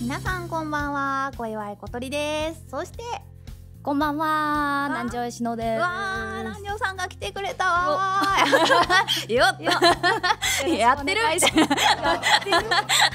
皆さんこんばんは小祝小鳥ですそしてこんばんは南條しのですわー南條さんが来てくれたわ やってる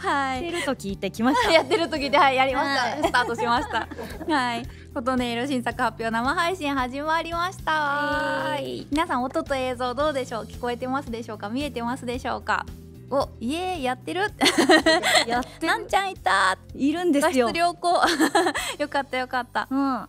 はい。やってると聞てきました。やってると聞はい、やりました。スタートしました。はい。琴音色新作発表生配信始まりました。はい。皆さん、音と映像どうでしょう聞こえてますでしょうか見えてますでしょうかお、いえ、やってる。やなんちゃんいた。いるんですよ。良好。よかった、よかった。うん。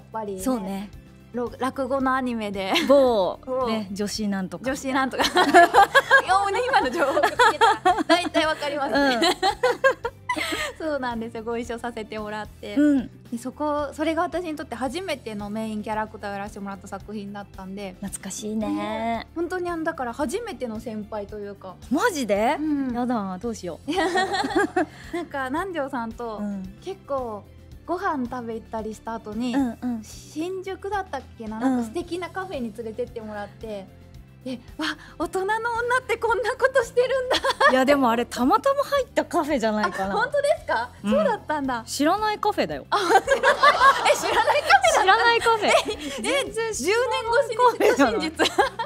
っぱり、そうね落語のアニメでね、女子なんとか女子なんとか大体わかりますね、そうなんですよご一緒させてもらって、そこそれが私にとって初めてのメインキャラクターをやらせてもらった作品だったんで懐かしいね、うん、本当にあのだから初めての先輩というかマジで、うん、やだどうしようよ なんか南條さんと結構ご飯食べ行ったりした後に、新宿だったっけななんか素敵なカフェに連れてってもらって。えわ大人の女ってこんなことしてるんだ いやでもあれたまたま入ったカフェじゃないかな本当ですか、そうだったんだ知らないカフェだよえ知らないカフェ知らないカフェ全年越しに真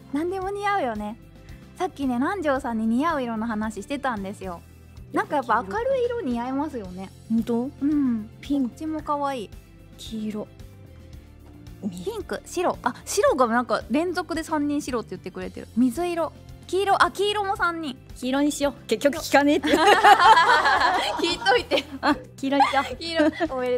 何でも似合うよねさっきね南條さんに似合う色の話してたんですよなんかやっぱ明るい色似合いますよね本当うんピンチも可愛い黄色ピンク白あ白がなんか連続で3人白って言ってくれてる水色黄色あ黄色も3人黄色にしよう結局聞かねえって 聞いといて黄色にしよう黄色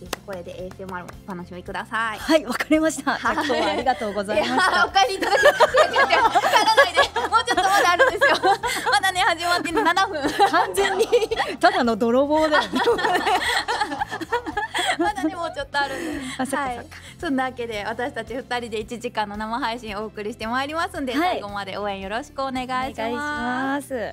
ぜひこれで ASMR もお楽しみください。はい、わかりました。今日はありがとうございました。お帰りいただきました。もうちょっとまだあるんですよ。まだね始まって七分。完全にただの泥棒だよ、まだねもうちょっとあるんで。はい。そんなわけで私たち二人で一時間の生配信をお送りしてまいりますんで、最後まで応援よろしくお願いします。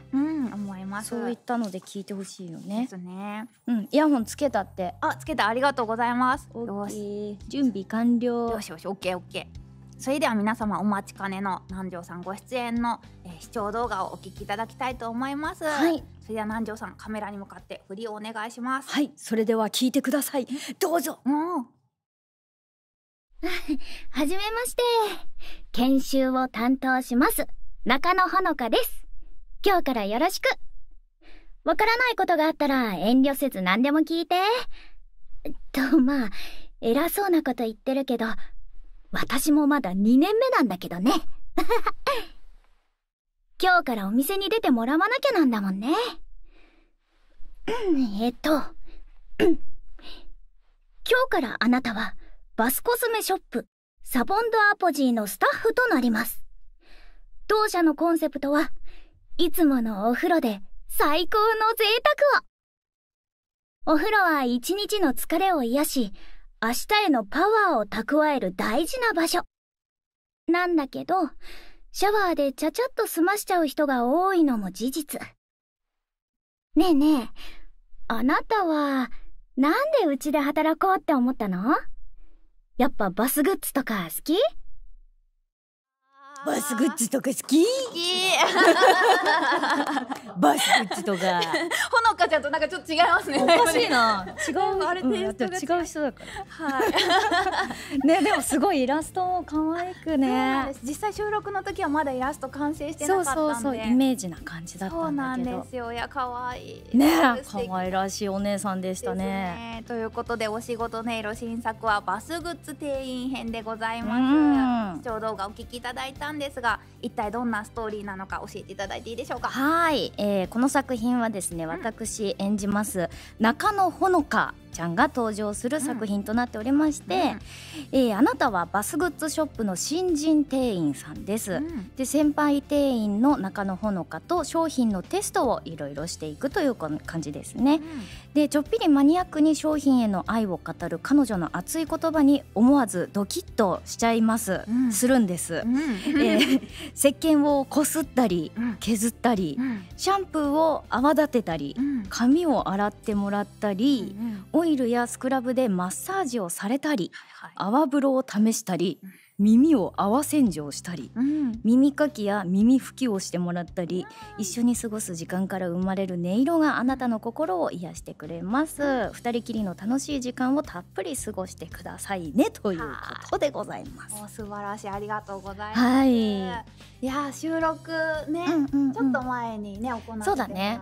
うん、思います。そういったので聞いてほしいよね。うん、イヤホンつけたって。あ、つけたありがとうございます。よし、準備完了。よしよし、オッケーオッケー。それでは皆様お待ちかねの南條さんご出演の、え視聴動画をお聞きいただきたいと思います。それでは南條さんカメラに向かって振りをお願いします。はい。それでは聞いてください。どうぞ。う はじめまして。研修を担当します。中野ほのかです。今日からよろしく。わからないことがあったら遠慮せず何でも聞いて。と、まあ、偉そうなこと言ってるけど、私もまだ2年目なんだけどね。今日からお店に出てもらわなきゃなんだもんね。えっと、今日からあなたはバスコスメショップサボンドアポジーのスタッフとなります。同社のコンセプトはいつものお風呂で最高の贅沢をお風呂は一日の疲れを癒し、明日へのパワーを蓄える大事な場所。なんだけど、シャワーでちゃちゃっと済ましちゃう人が多いのも事実。ねえねえ、あなたは、なんでうちで働こうって思ったのやっぱバスグッズとか好きバスグッズとか好き バスグッズとか ほのかちゃんとなんかちょっと違いますねおかしいな 違う人だからはいでもすごいイラストも可愛くね実際収録の時はまだイラスト完成してかっそうそうそうイメージな感じだったそうなんですよいや可愛い可愛らしいお姉さんでしたね、ということでお仕事音色新作はバスグッズ店員編でございます視聴動画お聞きいただいたんですが一体どんなストーリーなのか教えていただいていいでしょうかはい、えー、この作品はですね私演じます、中野ほのかちゃんが登場する作品となっておりまして、うえあなたはバスグッズショの新人店員さんです、で先輩店員の中野ほのかと商品のテストをいろいろしていくという感じですね、でちょっぴりマニアックに商品への愛を語る彼女の熱い言葉に思わずドキッとしちゃいます、するんです、え石鹸をこすったり削ったり、シャンプーを泡立てたり、髪をてもらったり、オイルやスクラブでマッサージをされたり、い泡風呂を試したり、耳を泡洗浄したり、耳かきや耳拭きをしてもらったり一緒に過ごす時間から生まれる音色があなたの心を癒してくれます二人きりの楽しい時間をたっぷり過ごしてくださいねということでございます素晴らしいありがとうございます、い、や収録ね、ちょっと前にね行ってそうだね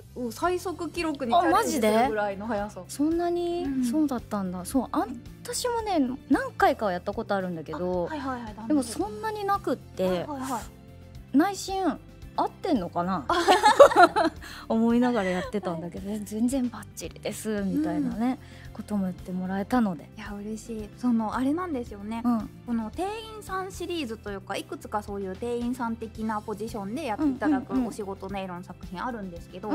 回を最速記録にチジすぐらいの速さそんなに、そうだったんだそうあ私もね何回かはやったことあるんだけど、はいはいはい、でもそんなになくって、はいはい内心合ってんのかな 思いながらやってたんだけど、全然バッチリですみたいなね、ことも言ってもらえたのでいや嬉しいそのあれなんですよね、うん、この店員さんシリーズというかいくつかそういう店員さん的的なポジションでやっていただくお仕事音色の作品あるんですけど、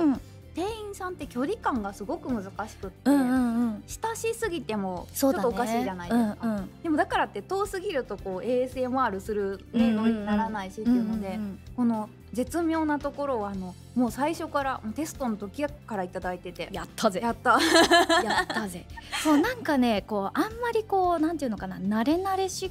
店員さんって距離感がすごく難しくて、親しすぎてもちょおかしいじゃないですか、でもだからって遠すぎるとこう ASMR するのにならないしっていうので、この絶妙なところはあのもう最初からテストの時から頂いててやったぜやった やったぜそうなんかねこうあんまりこうなんていうのかな慣れ慣れし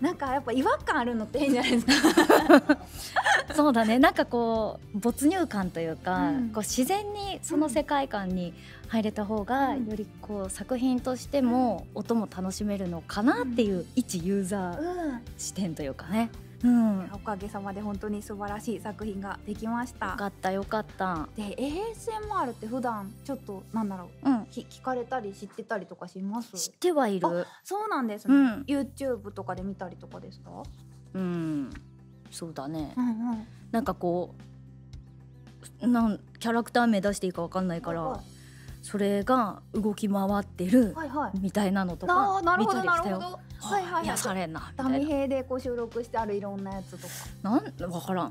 なんかやっぱ違和感あるのって変じゃないですか そうだねなんかこう没入感というか、こう自然にその世界観に入れた方が、よりこう作品としても音も楽しめるのかなっていう、一ユーザー視点というかね。うん、おかげさまで本当に素晴らしい作品ができましたよかったよかったで ASMR って普段ちょっとなんだろう、うん、聞かれたり知ってたりとかします知ってはいるそうなんですうん、y o u t u b とかで見たりとかですかうんそうだね、なんかこうなんキャラクター名出していいか分かんないから、それが動き回ってるみたいなのとか見たりしたよ、はいはいはいはい、癒さなみでこう収録してあるいろんなやつとか。なん分からん。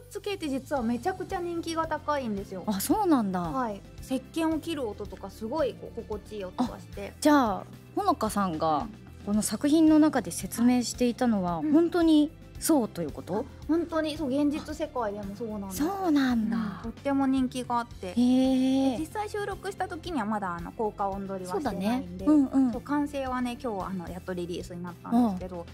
グッて実はめちゃくちゃ人気が高いんですよあそうなんだ石鹸を切る音とかすごい心地いい音がしてじゃあほのかさんがこの作品の中で説明していたのは本当に、そうということ、本当にそう現実世界でもそうなんそうなんだ、とっても人気があって実際収録した時にはまだあの効果音取りはしてないんで、ねうんうん、完成はね今日あのやっとリリースになったんですけど、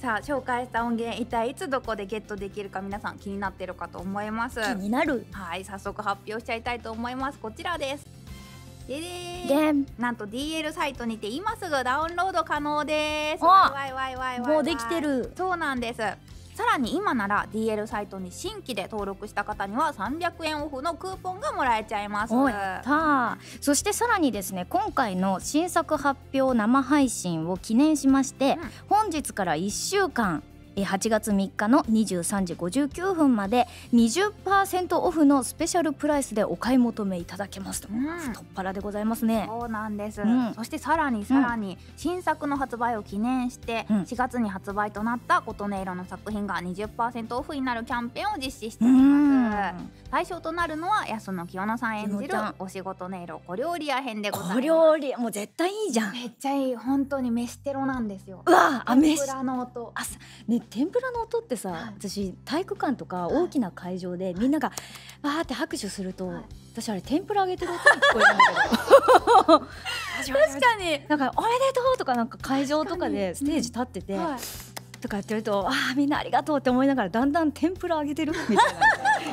さあ紹介した音源一体いつどこでゲットできるか皆さん気になってるかと思います気になるはい早速発表しちゃいたいと思いますこちらですででんなんと DL サイトにて今すぐダウンロード可能ですわいわわわもうできてるそうなんですさらに今なら DL サイトに新規で登録した方には300円オフのクーポンがもらえちゃいますそしてさらにですね今回の新作発発表生配信を記念しまして、本日から1週間8月3日の23時59分まで20%オフのスペシャルプライスでお買い求めいただけますと、うん、太っ腹でございますねそうなんです、そしてさらにさらに新作の発売を記念して、う4月に発売となった琴音色の作品が20%オフになるキャンペーンを実施しています、対象となるのは安野清乃さん演じるお仕事音色よ料理屋編でござ料理もう絶対いいじゃんめっちゃいい本当に飯テロなんですよあ天ぷらの音あね天ぷらの音ってさ、私体育館とか大きな会場で、みんながわーって拍手すると、私あれ天ぷら揚げてる音に聞こえるんだけど確かになんかおめでとうとかなんか会場とかでステージ立ってて、とかやってるとああみんなありがとうって思いながらだんだん天ぷら揚げてるみたいな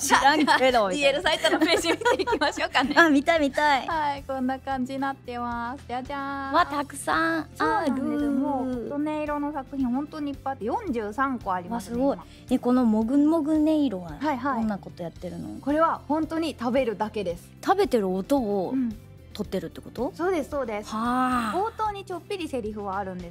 知らんけど DL サイトのページ見ていきましょうかね あ見た見たいはいこんな感じになってますじゃじゃんわたくさんあるもう音色の作品本当にいっぱいあって43個あります、すごいえこのもぐもぐ音色は、いはい、どんなことやってるのこれは本当に食べるだけです食べてる音を、うってるってことそうですそうです冒頭にちょっぴりセリはあるんです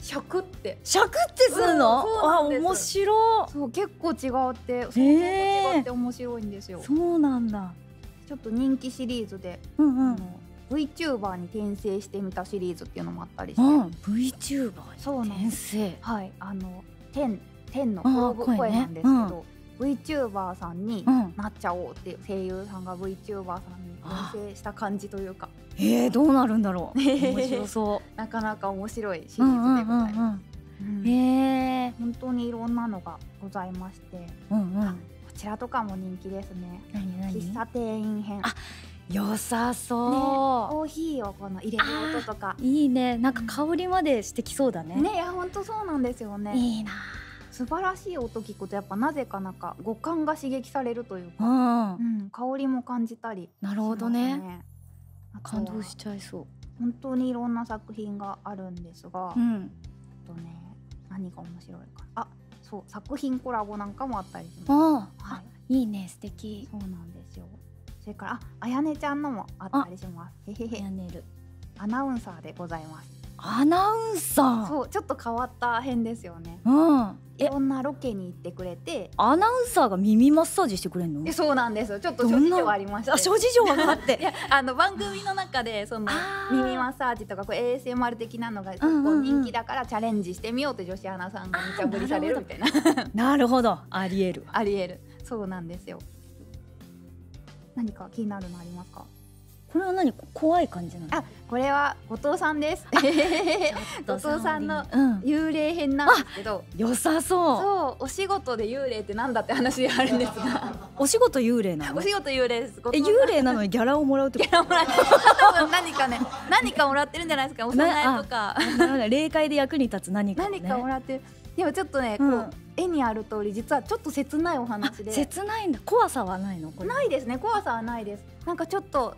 シャクってシャクってするの、うん、あ面白そう結構違ってそう、って面白いんですよそうなんだちょっと人気シリーズで、うん VTuber に転生してみたシリーズっていうのもあったりして、うん、VTuber に転生はいあの天天の声なんですけど、VTuber さんになっちゃおうって声優さんが VTuber さんに転生した感じというかえー、どうなるんだろう 面白そうなかなか面白いシリーズでございます、うえ本当にいろんなのがございまして、こちらとかも人気ですね喫茶店員編良さそう、コーヒーをこの入れる音とかいいねなんか香りまでしてきそうだね、ねいや本当そうなんですよねいいな素晴らしい音聞くとやっぱなぜかなんか五感が刺激されるといううん香りも感じたり、なるほどね感動しちゃいそう本当にいろんな作品があるんですが、うん、とね何が面白いかあそう作品コラボなんかもあったりしい、いね素敵そうなんですよそれからあやねちゃんのもあったりしますへへへアナウンサーでございますアナウンサーちょっと変わった編ですよね、うん、いろんなロケに行ってくれてアナウンサーが耳マッサージしてくれるのそうなんですちょっと諸事情あ諸事情があって やあの番組の中でその耳マッサージとかこう ASMR 的なのが結構人気だからチャレンジしてみようって女子アナさんが無茶されるみたいな るほどありえるありえるそうなんですよ何か気になるのありますかこれは何怖い感じなのあこれは後藤さんです 後藤さんの幽霊編なんですけど、良さそうそうお仕事で幽霊ってなんだって話があるんですが お仕事幽霊なの お仕事幽霊ですえ幽霊なのにギャラをもらうとギャラもらう多分何かね何かもらってるんじゃないですかお供えとか霊界で役に立つ何か、何かもらってでもちょっとね、うこう絵にある通り実はちょっと切ないお話で切ないんだ怖さはないのないですね怖さはないですなんかちょっと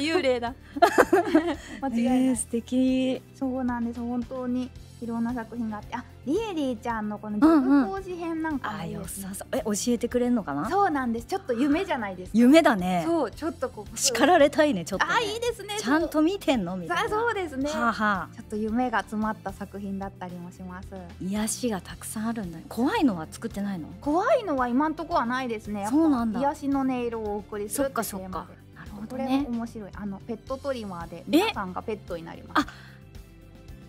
幽霊だ 間違いそうなんです本当にいろんな作品があってあリエリーちゃんのこの自分講師編なんかもいいです、ねんえ教えてくれるのかなそうなんですちょっと夢じゃないです夢だねちょっとこう叱られたいねちょっと、あいいですねちゃんと見てんのみたいなははちょっと夢が詰まった作品だったりもします癒しがたくさんあるんだ怖いのは作ってないの怖いのは今んとこはないですねそうなんだ癒しの音色を送りするかそっかなるほど面白いあのペットトリマーで皆さんがペットになります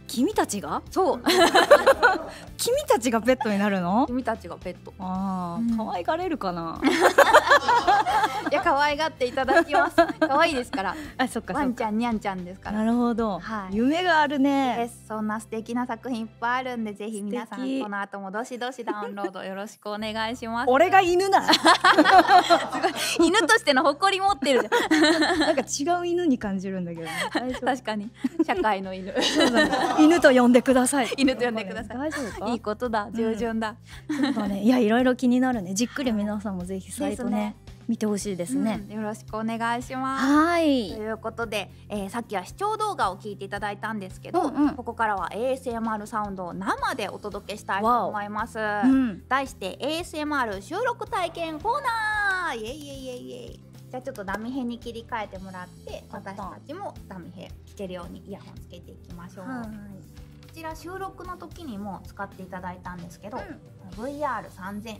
君たちがそう 君たちがペットになるの君たちがペットああ、可愛がれるかな いや可愛がっていただきます可愛いですから あそっかにゃんちゃんですからなるほど、夢があるねそんな素敵な作品いっぱいあるんでぜひ皆さんこの後もどしどしダウンロードよろしくお願いします俺が犬な 犬としての誇り持ってる なんか違う犬に感じるんだけど、ね、確かに社会の犬、犬と呼んでください犬と呼んでくださいいいことだ従順だ、そうねいやいろいろ気になるねじっくり皆さんもぜひサイトね見てほしいですね、よろしくお願いしますということでえー、さっきは視聴動画を聞いていただいたんですけど、ここからは ASMR サウンドを生でお届けしたいと思います、題して ASMR 収録体験コーナーじゃあちょっとダミヘに切り替えてもらって私たちもダミヘ聞けるようにイヤホンつけていきましょうこちら収録の時にも使っていただいたんですけど、v r 3 0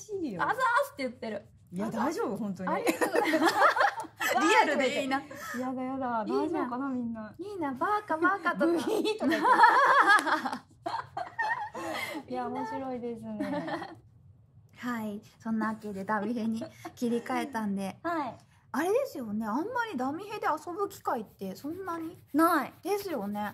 あざーすって言ってるいや大丈夫本当に リアルでいいな。やだやだ。大丈夫かなみんな。いいな、バーカバーカと いや、面白いですね。はい。そんなわけでダミヘに切り替えたんで。はい。あれですよね。あんまりダミヘで遊ぶ機会ってそんなにないですよね。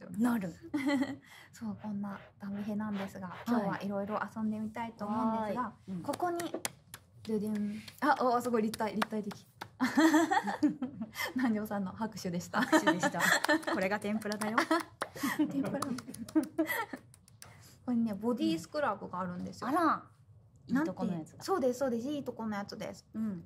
なる。そうこんなダミヘなんですが、今日はいろいろ遊んでみたいと思うんですが、ここにあおすごい立体立体的。南條さんの拍手でした。これが天ぷらだよ。天ぷら。これねボディスクラブがあるんですよ。うん、あら。いいやつそうですそうですいいとこのやつです。うん、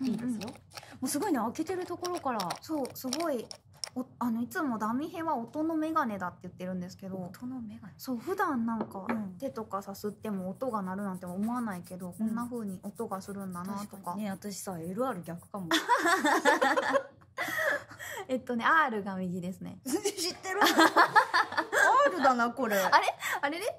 いいですよ、もうすごいね開けてるところからそうすごいあのいつもダミヘは音の眼鏡だって言ってるんですけど音の眼鏡そう普段なんか、手とかさすっても音が鳴るなんて思わないけど、こんな風に音がするんだなとかね私さ LR 逆かも えっとね R が右ですね 知ってる R だなこれあれあれれ、ね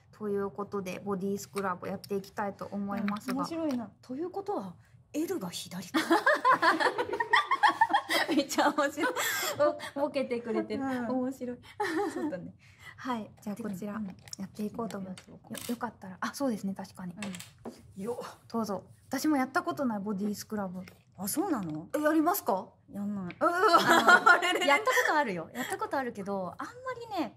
ということでボディスクラブやっていきたいと思います面白いなということは L が左か めっちゃ面白い ボケてくれて面白いはいじゃあこちらやっていこうと思いますよかったらあそうですね確かに、よどうぞ私もやったことないボディスクラブあ、そうなのやりますか やったことあるよ。やったことあるけど、あんまりね、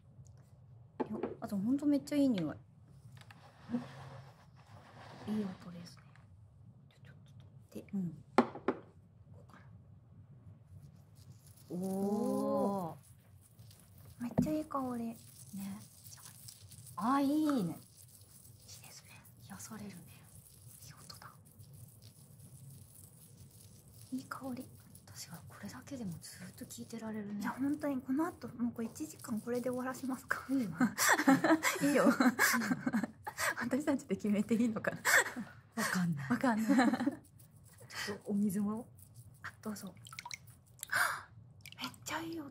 あとほんめっちゃいい匂いいい音ですねちょちょっとでうんおおめっちゃいい香りねあいいねいいですね癒されるねいい音だいい香り私はこれだけでもずっと聞いてられるねいや本当にこの後もうこれ1時間これで終わらせますか、いいん、いいよ、うん、私たちで決めていいのかな？わかんないわかんないちょっとお水もあどうぞめっちゃいい音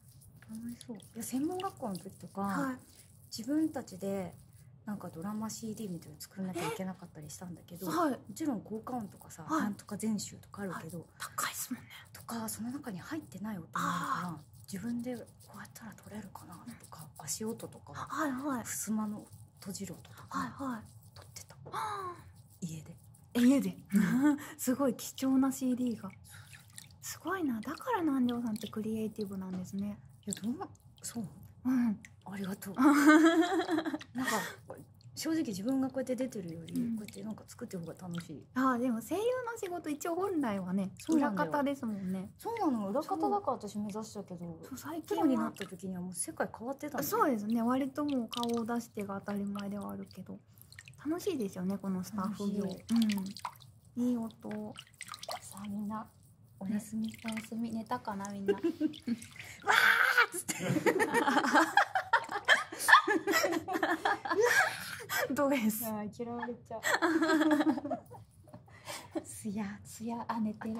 楽しそういや専門学校の時とか、自分たちでなんかドラマ CD みたいなの作らなきゃいけなかったりしたんだけど、もちろん効果音とかさ、はなんとか全集とかあるけど、高いですもんねとかその中に入ってない音もあるから自分でこうやったら取れるかなとか、足音とか、はいは襖の閉じる音とか、撮ってた家で。家で すごい貴重な CD がすごいなだから南條さんってクリエイティブなんですねいやどうそううんありがとう なんか正直自分がこうやって出てるより、こうやってなんか作って方が楽しいあでも声優の仕事一応本来はね裏方ですもんねそうなの裏方だから私目指したけど最近そうですね割ともう顔を出してが当たり前ではあるけど楽しいですよねこのスタッフ業うん、いい音さあみんなおやみ、ね、おやみ寝たかなみんな わーですあ嫌われちゃうすやすやあ寝てる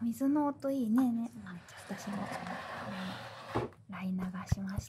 水の音いいねね私も、ね、ライ流しまし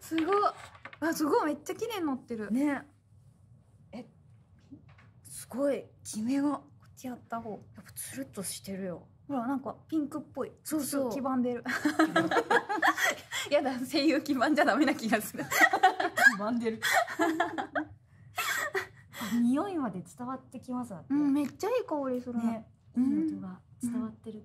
すごあすごいめっちゃ綺麗になってるねえすごいキメこっちやった方やっぱつるっとしてるよほらなんかピンクっぽいそうそう黄ばんでる やだ声優黄ばんじゃダメな気がする黄ばんでる匂いまで伝わってきますうめっちゃいい香りするね、うん、伝わってる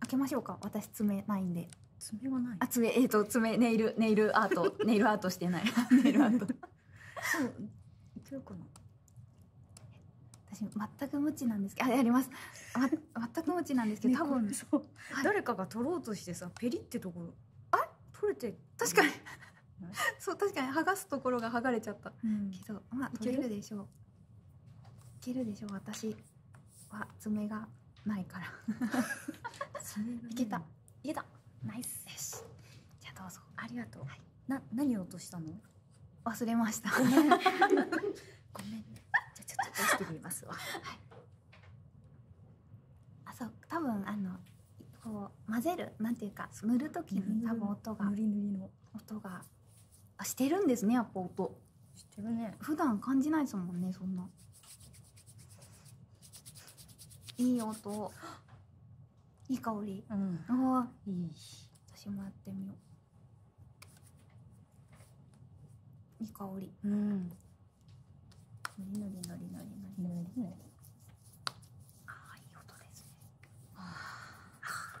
開けましょうか私爪ないんで爪はない爪えっ、と爪ネイルネイルアート ネイルアートしてない ネイルアートそういけるかな私全く無知なんですけどあやります、ま、全く無知なんですけど、多分そう、は誰かが取ろうとしてさペリってところあ取れて確かに そう確かに剥がすところが剥がれちゃった、けどまあ取れるでしょういけるでしょう私わ爪がないからいけたいけたナイスよしじゃあどうぞありがとう、な何を落としたの忘れました ごめんあそう多分あのこう混ぜるなんていうか塗る時に多分音が音がしてるんですねやっぱ音してるね普段感じないですもんねそんないい音いい香りうんあいい私もやってみよういい香りうんのりのりのりのりのりのりああいい音ですねああ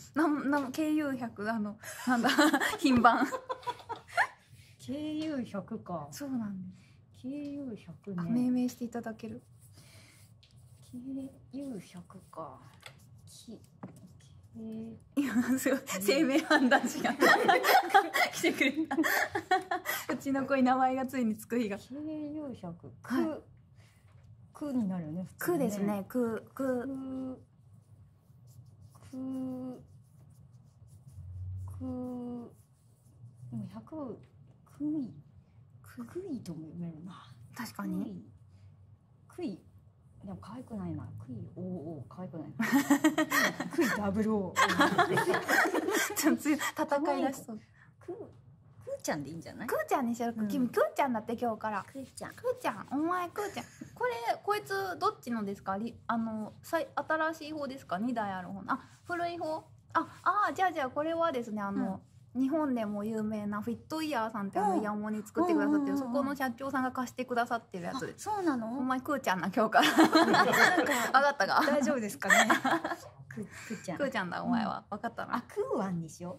なんなん軽油百あのなんだ 品番。軽油百か。そうなんです。軽油百命名していただける。軽油百か。き。今すごい生命判 来てくれうちの子に名前がついにつく日が軽油百く、くになるよねくですねくくくくもうくいくぐいとも確かにくいでも可愛くないなくいおお可愛くない くいダブルお 戦い出くくーちゃんでいいんじゃないくーちゃんにしよ君くーちゃんだって今日からーくーちゃん、お前くーちゃん。これ、こいつ、どっちのですかあの、さい新しい方ですか ?2 台ある方。古い方あ、あじゃあじゃあこれはですね、あの、日本でも有名なフィットイヤーさんってあのイヤモに作ってくださってる、そこの社長さんが貸してくださってるやつそうなのお前くーちゃんな、今日から。分かったか大丈夫ですかね。く、くくーちゃんだ、お前は。分かったな。あ、くーわんにしよ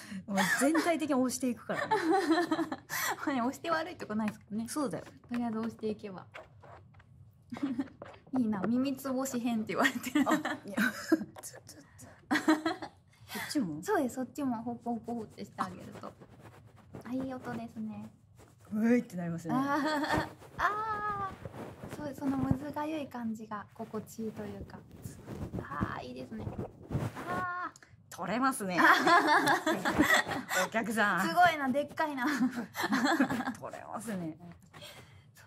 もう全体的に押していくからね まあ押して悪いとこないですかどねそうだよとりあえず押していけば いいな耳つぼし編って言われてるあいやちょちこっちも そうですそっちもほっぽほっってしてあげるとあいい音ですねういってなりますねああそうそのむずがい感じが心地いいというかああいいですねああ取れますね。お客さん。すごいな、でっかいな。取れますね。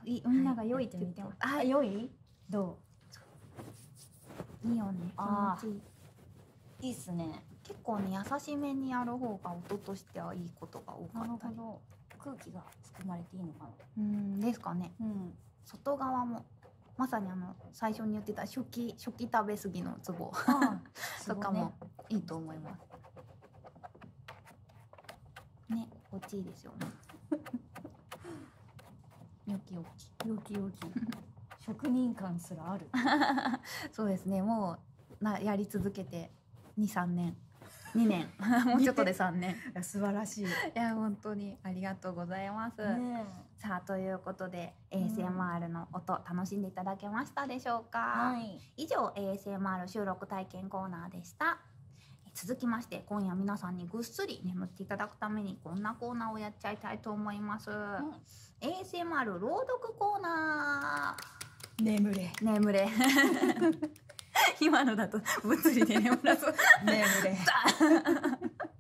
いみんが良いってあ、良いどういいよね。気持いい。っすね。結構ね、優しめにやる方が音としてはいいことが多かった空気が含まれていいのかな。うん、ですかね。うん。外側もまさにあの最初に言ってた初期初期食べ過ぎのツボ とかもいいと思います。ね、心地いいですよね。よきよき。よきよき。職人感すらある。そうですね、もう、な、やり続けて、二三年。二年、もうちょっとで三年。素晴らしい。いや、本当にありがとうございます。さあということで ASMR の音、楽しんでいただけましたでしょうか、以上 ASMR 収録体験コーナーでした続きまして今夜皆さんにぐっすり眠っていただくためにこんなコーナーをやっちゃいたいと思います、ASMR 朗読コーナー眠れ眠れ 今のだと物理で眠らそ眠れ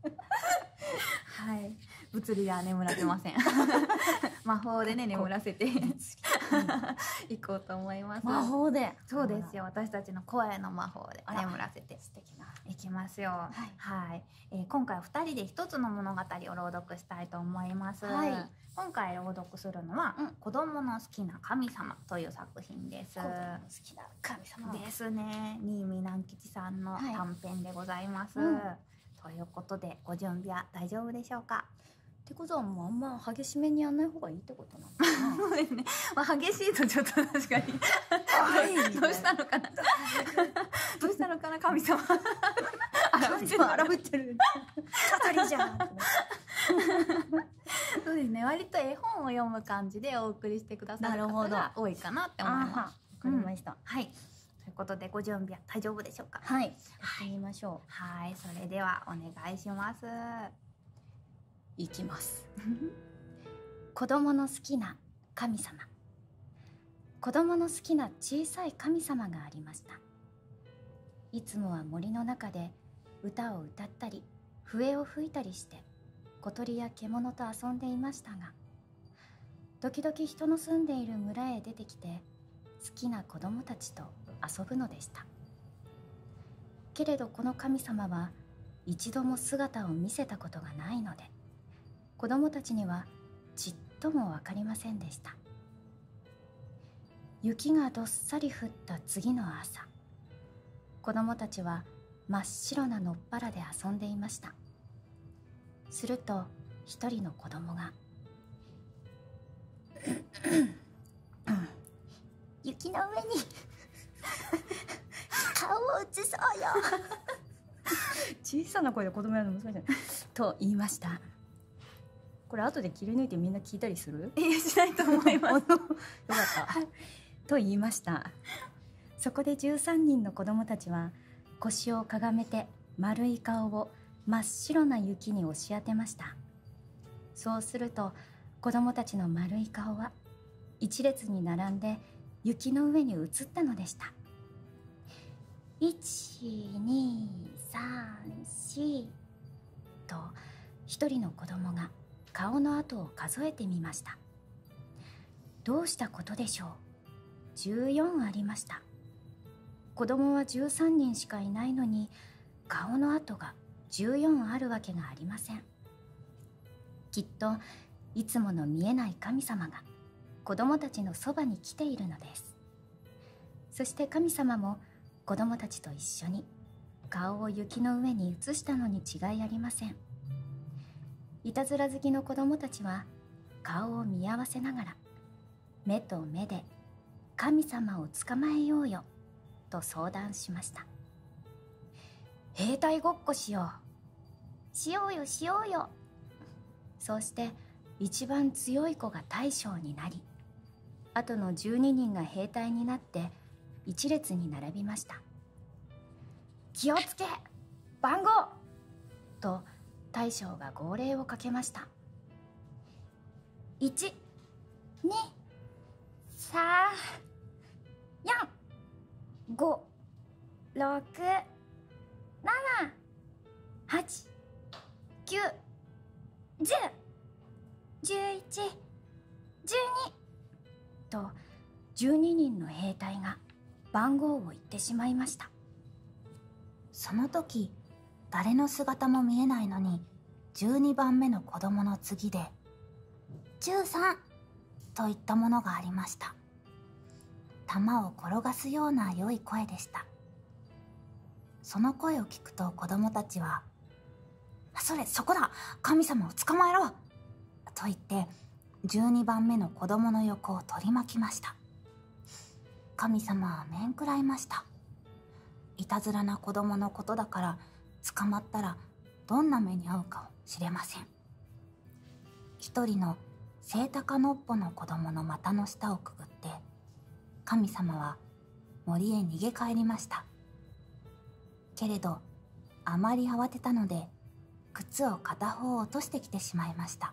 はい。物理では眠らせません。魔法でね、眠らせて行こうと思います。魔法でそうですよ。私たちの声の魔法で眠らせて。素敵な。いきますよ。はい。え今回二人で一つの物語を朗読したいと思います。今回朗読するのは、うん、子供の好きな神様という作品です。神様ですね新見南吉さんの短編でございます、ということでご準備は大丈夫でしょうかってことはもうあんま激しめにやんない方がいいってことなの ね、まあ、激しいとちょっと確かに どうしたのかな 神様そうですね割と絵本を読む感じでお送りしてくださる方が多いかなって思いますわかりした、はい。ということでご準備は大丈夫でしょうか。はい。はい、ましょう。はい、それではお願いします。いきます。子供の好きな神様。子供の好きな小さい神様がありました。いつもは森の中で歌を歌ったり笛を吹いたりして小鳥や獣と遊んでいましたが時々人の住んでいる村へ出てきて好きな子供たちと遊ぶのでしたけれどこの神様は一度も姿を見せたことがないので子供たちにはちっとも分かりませんでした雪がどっさり降った次の朝子供たちは真っ白なのっぱらで遊んでいましたすると一人の子供が「雪の上に顔を映そうよ小さな声で子供やるの難しいと言いましたこれ後で切り抜いてみんな聞いたりするしないと思いま よかった、と言いましたそこで13人の子どもたちは腰をかがめて丸い顔を真っ白な雪に押し当てましたそうすると子どもたちの丸い顔は1列に並んで雪の上に移ったのでした1234と1人の子供が顔の跡を数えてみましたどうしたことでしょう14ありました子供は13人しかいないのに顔の跡が14あるわけがありませんきっといつもの見えない神様が子供たちのそばに来ているのですそして神様も子供たちと一緒に顔を雪の上に移したのに違いありませんいたずら好きの子供たちは顔を見合わせながら目と目で神様を捕まえようよと相談しました兵隊ごっこしようしようよしようよそうして一番強い子が大将になり後の12人が兵隊になって一列に並びました気をつけ番号と大将が号令をかけました123 4 5 6 7 8 9 10 11 12と12人の兵隊が番号を言ってしまいましたその時誰の姿も見えないのに12番目の子供の次で13といったものがありました弾を転がすような良い声でしたその声を聞くと子供たちは「それそこだ神様を捕まえろ!」と言って12番目の子供の横を取り巻きました神様は面食らいましたいたずらな子供のことだから捕まったらどんな目に遭うかもしれません一人のセ高のっぽの子供の股の下をくぐって神様は森へ逃げ帰りましたけれどあまり慌てたので靴を片方落としてきてしまいました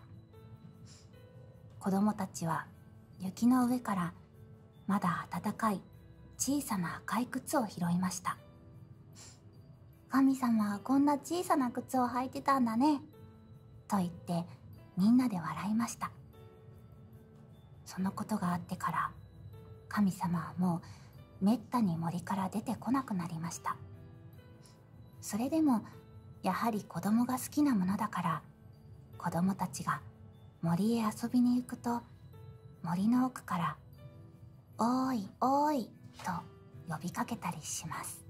子供たちは雪の上からまだ暖かい小さな赤い靴を拾いました神様はこんな小さな靴を履いてたんだねと言ってみんなで笑いましたそのことがあってから神様はもうめったに森から出てこなくなりましたそれでもやはり子供が好きなものだから子供たちが森へ遊びに行くと森の奥から「おいおい」と呼びかけたりします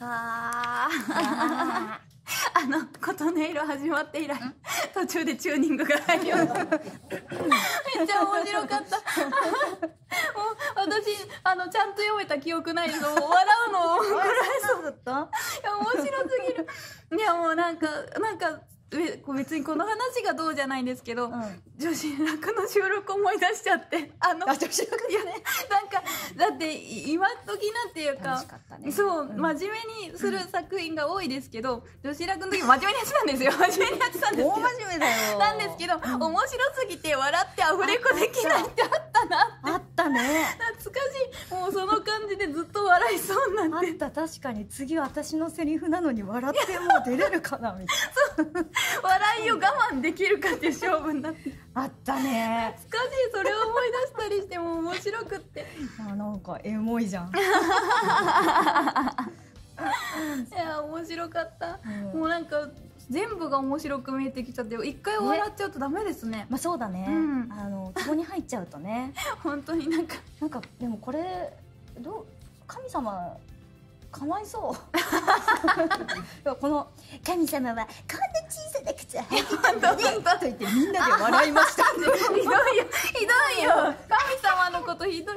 ああ あの琴音色始まって以来途中でチューニングが入りよ。し ためっちゃ面白かった私あのちゃんと読めた記憶ないの笑うのくらいそうったいや面白すぎるいやもうなんかなんか別にこの話がどうじゃないんですけど、女子楽の収録思い出しちゃってあの女子楽いやねなんかだって今時なんていうか、そう、真面目にする作品が多いですけど、女子楽の時真面目にやってたんですよ真面目にやってたんです真面目だよなんでですけど、うん、面白すぎて笑ってアフレコできないってあったなってあったね懐かしいもうその感じでずっと笑いそうになってあった確かに次私のセリフなのに笑ってもう出れるかなみたいな笑いを我慢できるかっていう勝負になってあったね懐かしいそれを思い出したりしても面白くってあなんかエモいじゃん いや面白かっもうなんか全部が面白く見えてきちゃって一回笑っちゃうとダメですね、まあそうだね、あのここに入っちゃうとね 本当になんかなんかでもこれ神様かわいそう この「神様はこんな小さな靴履いてたんだと言ってみんなで笑いましたひどいよひどいよ神様のことひどい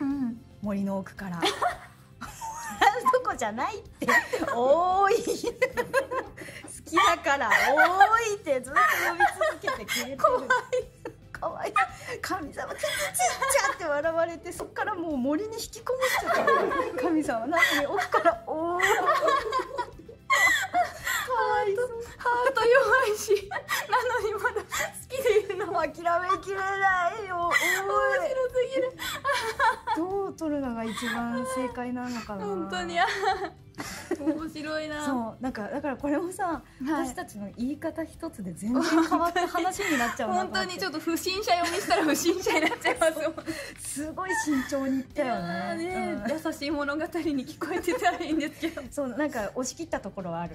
うん、森の奥から。そこじゃないって多い好きだから多いってずっと呼び続けてくれてる怖い怖い神様ちっちゃって笑われてそっからもう森に引きこもっちゃかた神様なのに奥から多 いかわいそうハート弱いしなのにまだきでいるの諦めきれないよ面白すぎるどう撮るのが一番正解なのかな本当に面白いなそうなんかだからこれもさ、私たちの言い方一つで全然話になっちゃう本当にちょっと不審者読みしたら不審者になっちゃいますよすごい慎重にいったよね、優しい物語に聞こえてたらいいんですけどなんか押し切ったところはある。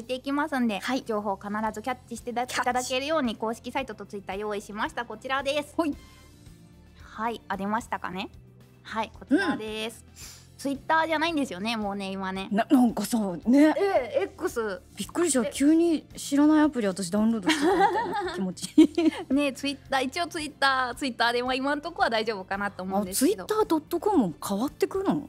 いていきますんで、情報必ずキャッチしていただけるように公式サイトとツイッター用意しましたこちらですはいあ出ましたかねはいこちらです、ツイッターじゃないんですよねもうね今ねなんかさねえ X びっくりした急に知らないアプリ私ダウンロードしたみたいな気持ち ねツイッター一応ツイッターツイッターでも今のところは大丈夫かなと思うんツイッター .com 変わってくるの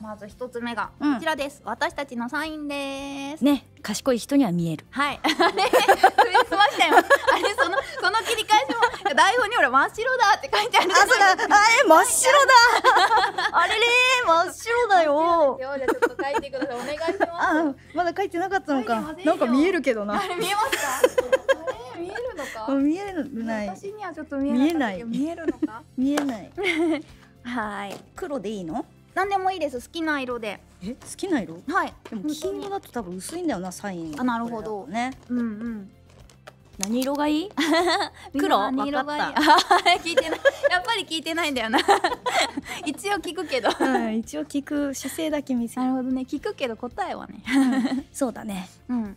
まず一つ目がこちらです、私たちのサインですね賢い人には見えるはい あれそれ済ましよあれそのその切り返しも台本にほ真っ白だって書いてあるあれ真っ白だあれれ真っ白だよじゃちょっと書いてくださいお願いしますまだ書いてなかったのかなんか見えるけどな見えますか 見えるのか見えない私にはちょっと見えない見えるのか見えない はい黒でいいの何でもいいです好きな色でえ好きな色はいでも金色だと多分薄いんだよなサインあなるほどねうんうん何色がいい 黒何色がいい 聞いてないやっぱり聞いてないんだよな一応聞くけど、一応聞く姿勢だけ見せなるほどね聞くけど答えはね、そうだねうん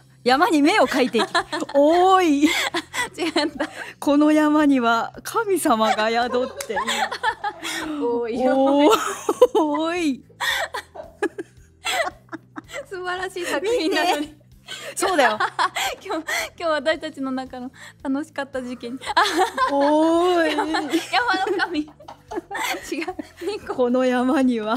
山に目を描いていき おい違ったこの山には神様が宿って おおい 素晴らしい作品なのそうだよ今日今日私たちの中の楽しかった事件おーい山の神違うこの山には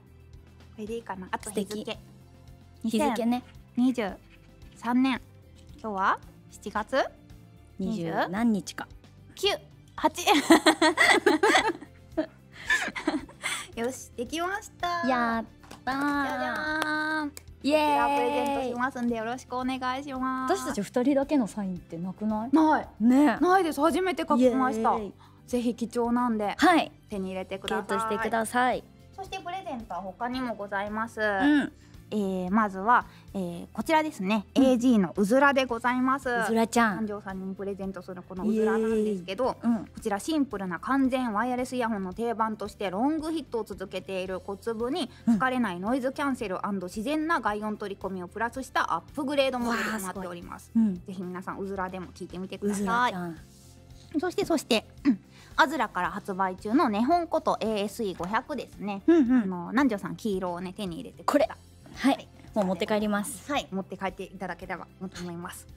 したこれかなあと日年今日は7月20何日か98 よしできましたやったじゃじプレゼントしますんでよろしくお願いします私たち二人だけのサインってなくないないです初めて書きましたぜひ貴重なんではい手に入れてくださいそしてプレゼントは他にもございます、うえまずは、えー、こちらですね、うん、AG のうずらでございますうずらちゃん誕生さんにプレゼントするこのうずらなんですけど、こちらシンプルな完全ワイヤレスイヤホンの定番としてロングヒットを続けている小粒に疲れないノイズキャンセル自然な外音取り込みをプラスしたアップグレードモデルとなっております、ぜひ皆さんうずらでも聞いてみてくださいそしてそして、アズラから発売中の日本こと ASE500 ですね、あの南條さん黄色をね手に入れてはい、もう持って帰りますはい持って帰っていただければと思います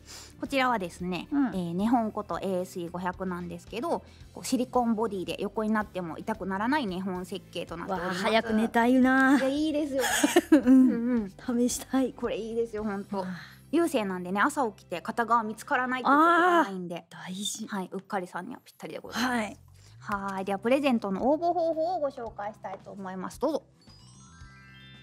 こちらはですね、うえ日本こと ASE500 なんですけどこうシリコンボディで横になっても痛くならない日本設計となっております早く寝たいないいですよ、うんうん、試したいこれいいですよ本当。流星なんでね朝起きて片側見つからないということがないんで大事、はい、うっかりさんにはぴったりでございます。はいではプレゼントの応募方法をご紹介したいと思います。どうぞ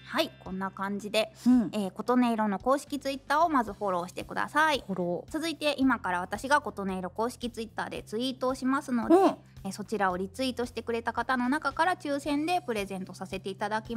はいこんな感じで、うえ琴音色の公式ツイッターをまずフォローしてください続いて今から私が琴音色公式ツイッターでツイートをしますので、うえそちらをリツイートしてくれた方の中から抽選でプレゼントさせていただき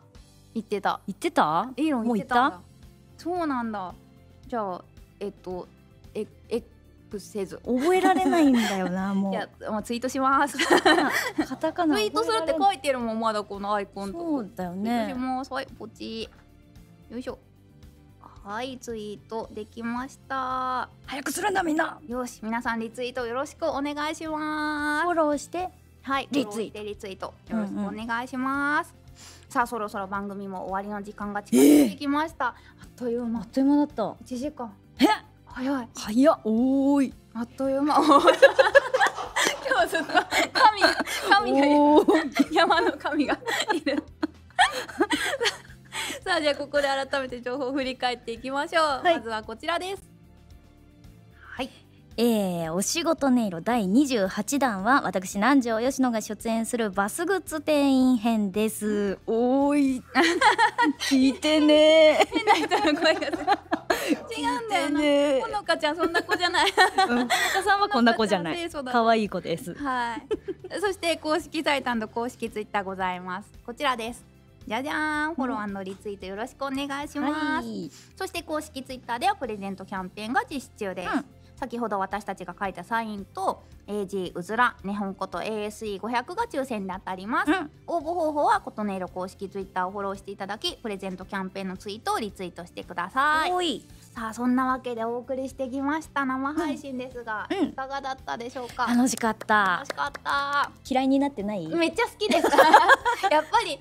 たってた行ってたそうなんだじゃあえっとええせず覚えられないんだよな いや、まあ、ツイートします ツイートするって書いてるもんまだこのアイコンとうだいポチよいしょはいツイートできました早くするんみんなよし皆さんリツイートよろしくお願いしますフォローしてはいリツイートよろしくお願いします。さあそろそろ番組も終わりの時間が近づいてきました、あっという間あっという間だった1時間早い早いあっという間今日ずっと神神山の神がいるさあじゃあここで改めて情報を振り返っていきましょう、まずはこちらですはいえー、お仕事音色第28弾は私南條吉野が出演するバスグッズ店員編ですおい 聞いてね違うんだよねほのかちゃんそんな子じゃないはいそして公式サイト公式ツイッターございますこちらですじゃじゃんフォローリツイートよろしくお願いします、そして公式ツイッターではプレゼントキャンペーンが実施中です、先ほど私たちが書いたサインと AG うずら日本こと ASE500 が抽選で当たります、応募方法は琴音色公式ツイッターをフォローしていただきプレゼントキャンペーンのツイートをリツイートしてくださいさあそんなわけでお送りしてきました生配信ですが、いかがだったでしょうか楽しかった楽しかった嫌いになってないめっちゃ好きです やっぱり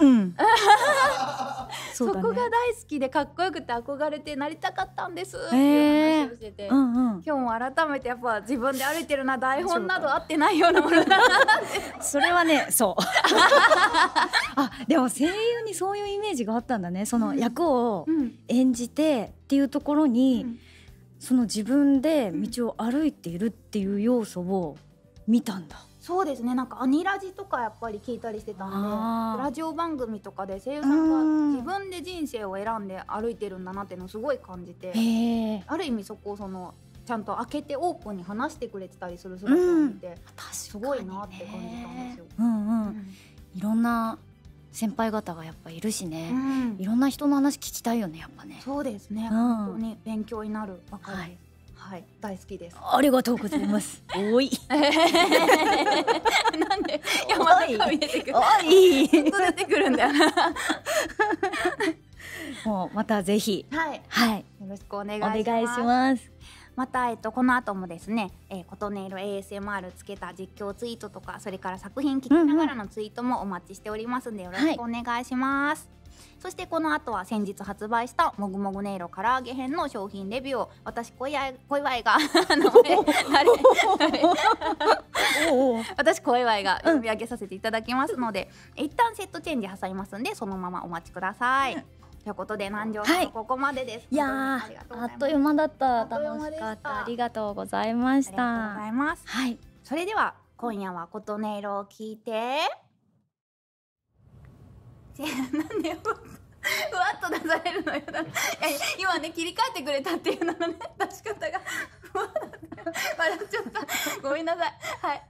うん そこが大好きでかっこよくて憧れてなりたかったんですっていう話をしてて、んうん、今日も改めてやっぱ自分で歩いてるな台本など合ってないようなもの それはねそう あでも声優にそういうイメージがあったんだねその役を演じてっていうところに、その自分で道を歩いているっていう要素を見たんだそうですねなんかアニラジとかやっぱり聞いたりしてたんでラジオ番組とかで声優さんが自分で人生を選んで歩いてるんだなっていうのをすごい感じてある意味そこをそのちゃんと開けてオープンに話してくれてたりする姿を見て、うんね、すごいなって感じたんですよ。いろんな先輩方がやっぱいるしね、いろんな人の話聞きたいよねやっぱねそうですね、本当に勉強になるばかり、はい、大好きです。ありがとうございます。おい。なんで山田が見おい。出 もうまたぜひ、はい、はい、よろしくお願いします。また、えっと、この後もですね、えー、琴音色 ASMR つけた実況ツイートとかそれから作品聞きながらのツイートもお待ちしておりますんで、よろしくお願いします。そしてこの後は先日発売したもぐもぐ音色らあげ編の商品レビューを 私小祝小祝が私小祝が読み上げさせていただきますので、うん、一旦セットチェンジ挟みますんでそのままお待ちください。ということで南條さん、ここまでです。いやあっという間だったありがとうございました。はい。それでは今夜は琴音色を聞いて。じゃなんで ふわっと出されるのよいや今ね切り替えてくれたっていうののね出し方が笑っちゃったごめんなさいはい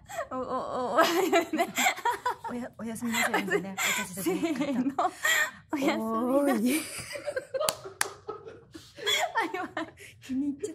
おやすみなさいおやすみなさい気に入っ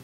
◆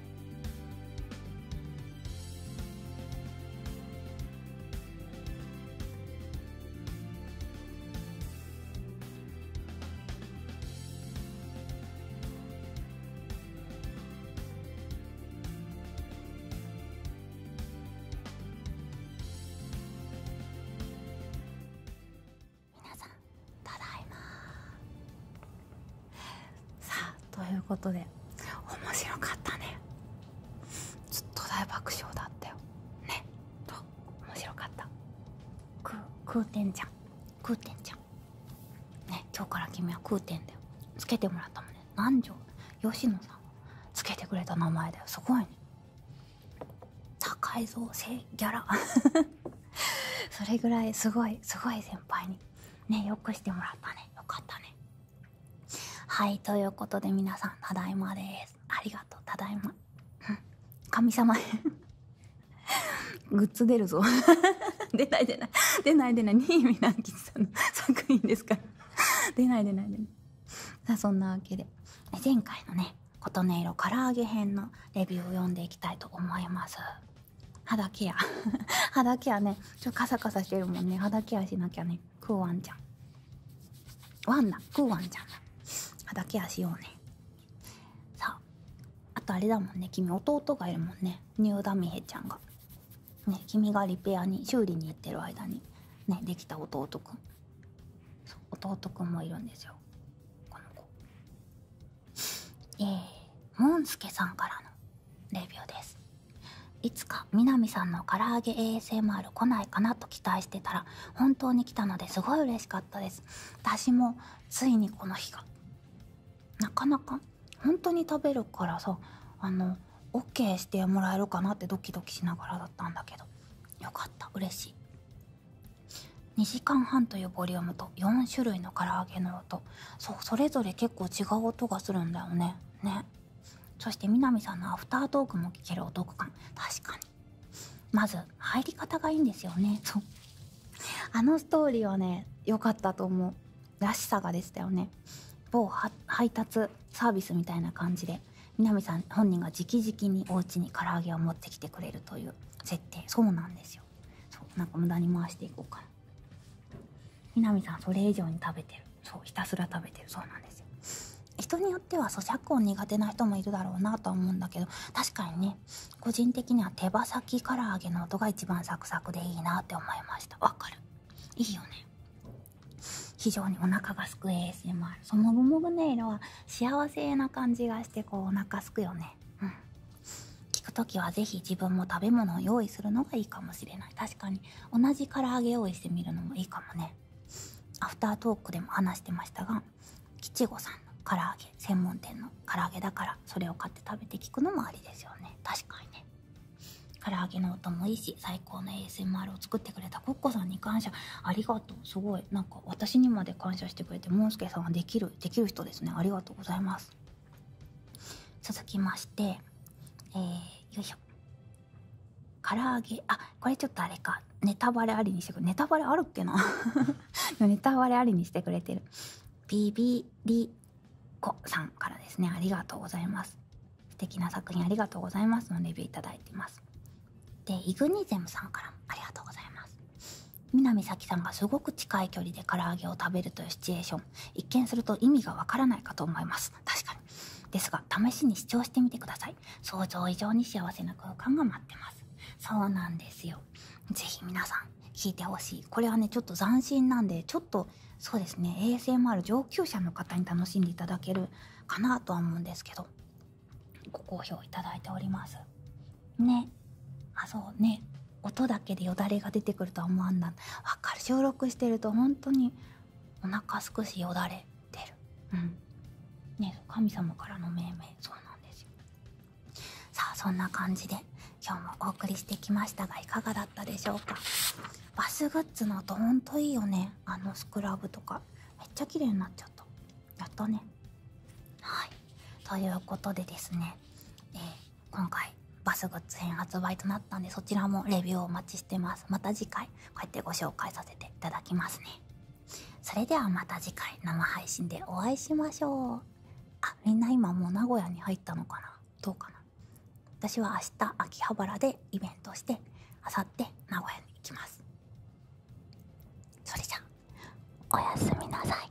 皆さんただいまさあということで面白かったねちっと大爆笑だったよねと面白かったく空天ちゃん空天ちゃんね今日から君は空天だよつけてもらったもんね何條吉野さんつけてくれた名前だよすごいね高いぞせギャラ それぐらいすごいすごい先輩にねよくしてもらったねよかったねはいということで皆さんただいまですありがとうただいま、うん、神様グッズ出るぞ 出ない出ない出ない出な新見南吉さんの作品ですから出ない出ない出ないそんなわけで前回のね琴音色唐揚げ編のレビューを読んでいきたいと思います肌ケア 肌ケアねちょカサカサしてるもんね肌ケアしなきゃねクーワンちゃんワンなクーワンちゃん肌ケアしようねさああとあれだもんね君弟がいるもんねニューダミヘちゃんがね君がリペアに修理に行ってる間にねできた弟くん弟くんもいるんですよこの子えー、もんすけさんからのレビューですいつか南さんの唐揚げ ASMR 来ないかなと期待してたら本当に来たのですごい嬉しかったです私もついにこの日がなかなか本当に食べるからさあの OK してもらえるかなってドキドキしながらだったんだけどよかった嬉しい2時間半というボリュームと4種類の唐揚げのうそうそれぞれ結構違う音がするんだよねねそして南さんのアフタートークも聞けるお得感確かにまず入り方がいいんですよねそうあのストーリーはね良かったと思うらしさがでしたよね某配達サービスみたいな感じで南さん本人が直々にお家に唐揚げを持ってきてくれるという設定そうなんですよそうなんか無駄に回していこうかな南さんそれ以上に食べてるそうひたすら食べてるそうなんですよ人によっては咀嚼音苦手な人もいるだろうなとは思うんだけど確かにね個人的には手羽先唐揚げの音が一番サクサクでいいなって思いましたわかるいいよね非常にお腹がすく ASMR そのもぐもぐ音色は幸せな感じがしてこうお腹すくよねうん聞く時は是非自分も食べ物を用意するのがいいかもしれない確かに同じ唐揚げ用意してみるのもいいかもねアフタートークでも話してましたが吉五さんの唐揚げ専門店の唐揚げだからそれを買って食べて聞くのもありですよね確かにね唐揚げの音もいいし最高の ASMR を作ってくれたコッコさんに感謝ありがとうすごいなんか私にまで感謝してくれてもんすけさんはできるできる人ですねありがとうございます続きまして、えよいしょ唐揚げあこれちょっとあれかネタバレありにしてくれネタバレあるっけな ネタバレありにしてくれてるビビリコさんからですねありがとうございます素敵な作品ありがとうございますのレビューいただいていますでイグニゼムさんからもありがとうございます南咲さんがすごく近い距離で唐揚げを食べるというシチュエーショ一見すると意味がわからないかと思います確かにですが試しに視聴してみてください想像以上に幸せな空間が待ってますそうなんですよ是非皆さん聞いてほしいこれはねちょっと斬新なんでちょっとそうですね ASMR 上級者の方に楽しんでいただけるかなとは思うんですけどご好評いただいておりますねあそうね音だけでよだれが出てくるとは思わんなわかる収録してると本当にお腹少しよだれ出るうんね神様からの命名そうなんですよさあそんな感じで今日もお送りしてきましたがいかがだったでしょうかバスグッズの音ほんといいよねあのスクラブとかめっちゃ綺麗になっちゃったやったねはいということでですねえー今回バスグッズ編発売となったんでそちらもレビューをお待ちしてますまた次回こうやってご紹介させていただきますねそれではまた次回生配信でお会いしましょうあみんな今もう名古屋に入ったのかなどうかな私は明日秋葉原でイベントしてあさって名古屋に行きますそれじゃおやすみなさい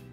◆